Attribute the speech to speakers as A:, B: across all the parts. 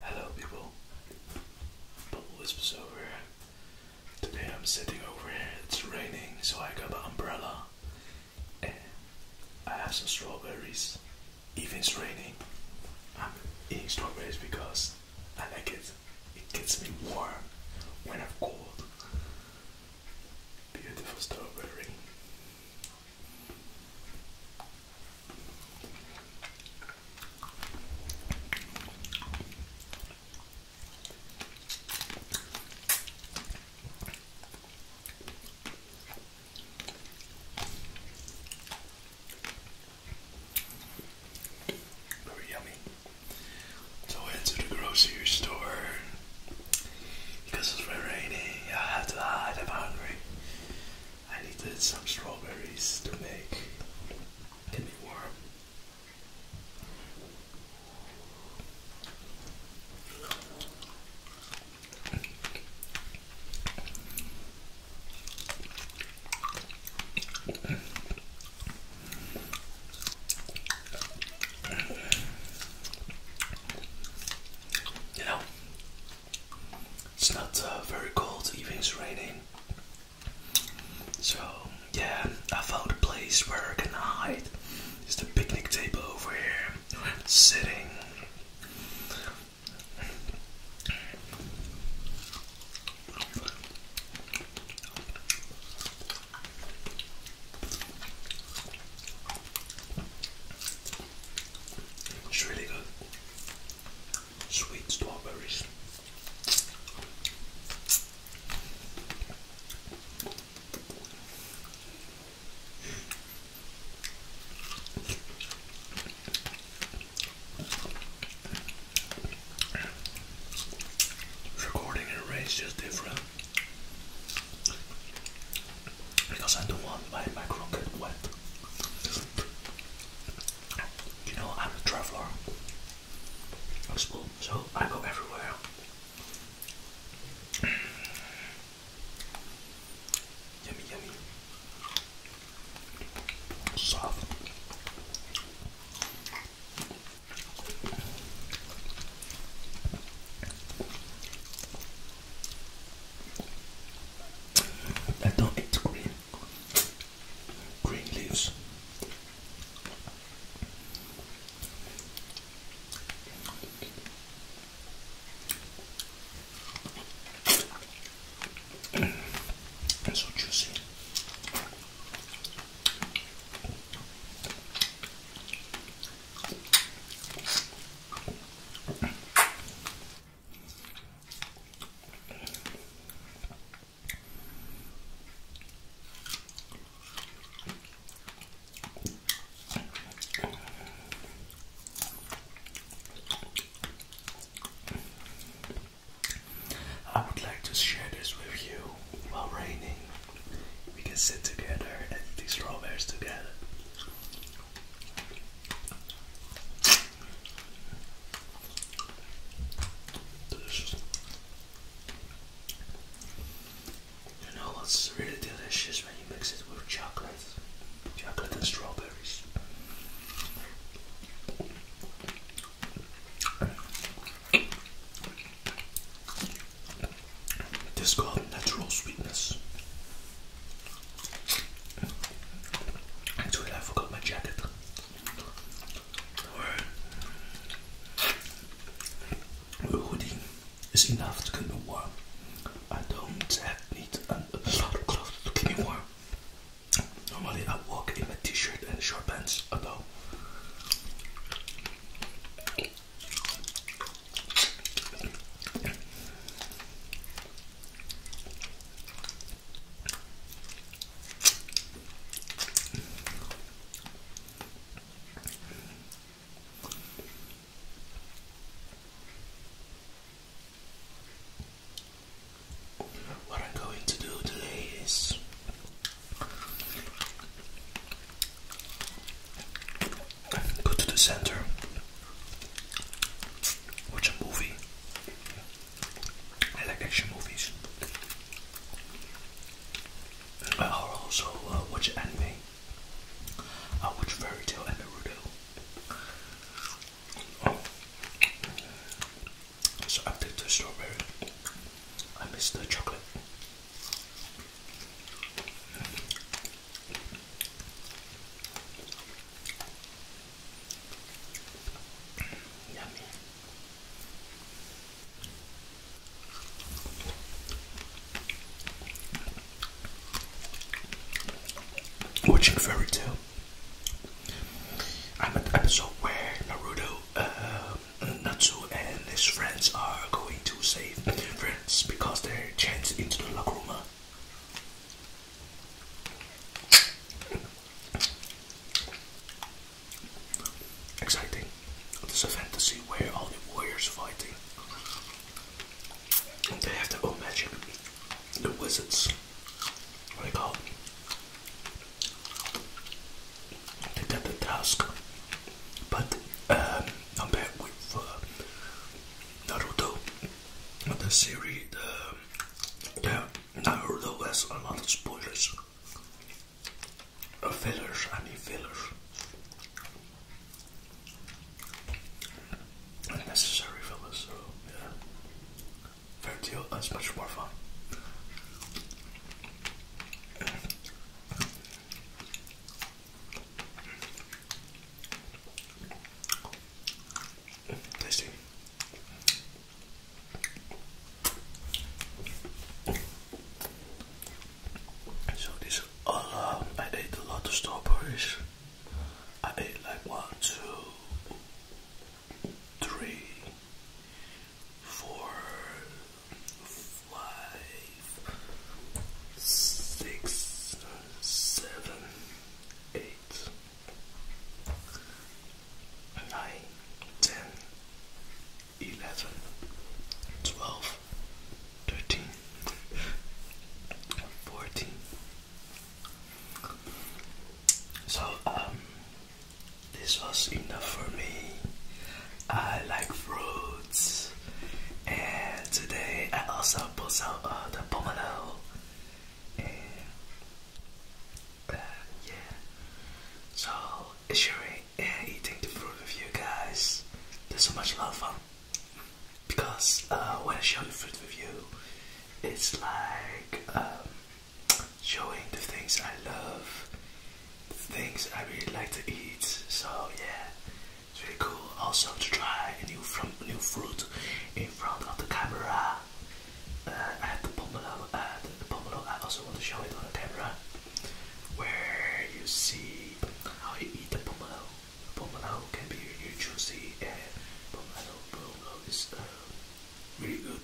A: Hello people, Bubble Wisps over. here. Today I'm sitting over here, it's raining so I got an umbrella I have some strawberries. Even it's raining, I'm eating strawberries because I like it. It gets me warm when I'm cold. Beautiful strawberry. Very yummy. So I went to the grocery store because it's very rainy. I have to hide. I'm hungry. I needed some strawberries to make candy warm. You know, it's not uh, very cold, even it's raining. So yeah, I found a place where I can hide. It's the picnic table over here, sitting. It's really good sweet strawberries. Recording in is different because I don't want my micro wet. You know, I'm a traveler. I'm small, so I go everywhere. yummy, yummy. Soft. I don't eat green green leaves. and so juicy. I would like to share this with you while raining. We can sit together and eat these strawberries together. It's really delicious when you mix it with chocolate? Chocolate and strawberries. This called natural sweetness. That's when I forgot my jacket. Or hoodie is enough to keep me warm. I don't need a lot of clothes to keep me warm. Normally I walk in a shirt and short pants, although what I'm going to do today is go to the center, watch a movie, I like action movies. I also uh, watch anime. I watch Fairy Tail and the Oh. So I picked the strawberry. I missed the chocolate. Watching Fairy Tale. I'm at the episode where Naruto, uh, Natsu, and his friends are going to save friends because they're chained into the Lagruma. Exciting. This is a fantasy where all the warriors fighting. they have their own magic. The wizards. What they call They did the task. But um, I'm back with uh, Naruto. The series, um, there are nevertheless a lot of spoilers. Uh, fillers, I mean fillers. Unnecessary fillers, so yeah. Fair deal, that's much more fun. So these are um, I ate a lot of strawberries. I ate like one, two, three, four, five, six, seven, eight, nine, ten, eleven, twelve, thirteen, fourteen. So um this was enough for me. I like fruits and today I also pulled some of uh, the pomelo uh, yeah. So, sure, uh, eating the fruit with you guys. There's so much love lot because uh, when I show the fruit with you, it's like um, showing the things I love, the things I really like to eat. So yeah, it's really cool. Also to try new from new fruit in front of the camera that. Uh, I the pomelo, uh, the, pomelo. I also want to show it on the camera, where you see how you eat the pomelo. pomelo can be really juicy, and pomelo, pomelo is uh, really good.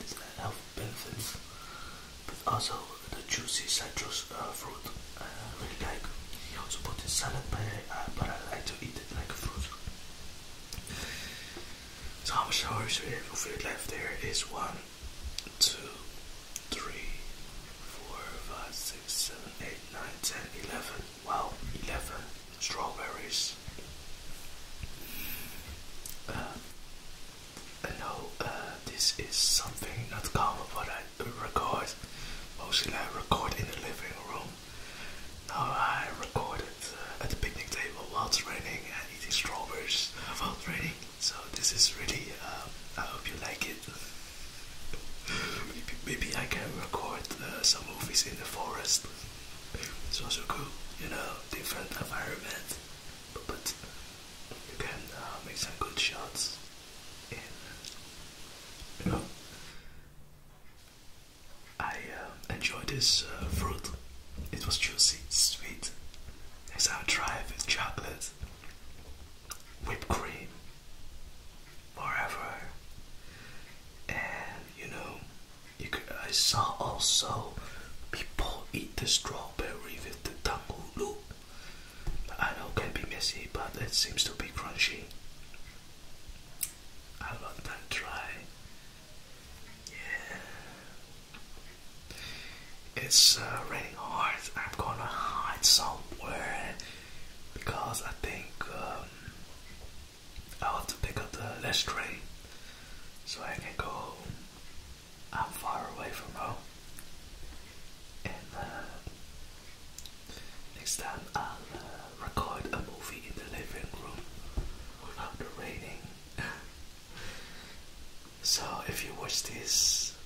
A: This uh, health benefits, but also the juicy citrus uh, fruit. I really like. He also put in salad, but I, but I like to eat it like a fruit. So I'm sorry, so if you left there is one, two, three, four, five, six, seven, eight, nine, ten, eleven. Wow, eleven strawberries. Uh, I know uh, this is something not common, but I record mostly. I record in the living room now I recorded uh, at the picnic table while it's raining and eating strawberries while it's raining. So this is really. Um, I hope you like it. maybe, I can record uh, some movies in the forest. It's also cool, you know, different environment. But, you can uh, make some good shots you know, I uh, enjoyed this uh, fruit. It was juicy, sweet. It's our try with chocolate, whipped cream, whatever. And you know, I saw also people eat the strawberry with the tangulu. I know it can be messy, but it seems to be crunchy a long time try. Yeah. It's uh, raining hard. I'm gonna hide somewhere because I think um, I have to pick up the last train so I can go home. I'm far away from home. And uh, next time record a movie in the living room without the raining. so if you watch this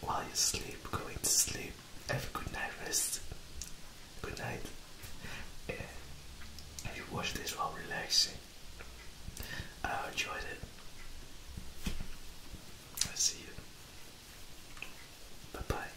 A: while you sleep, going to sleep, have a good night rest. Good night. Yeah. If you watch this while relaxing, I enjoyed it. I see you. Bye bye.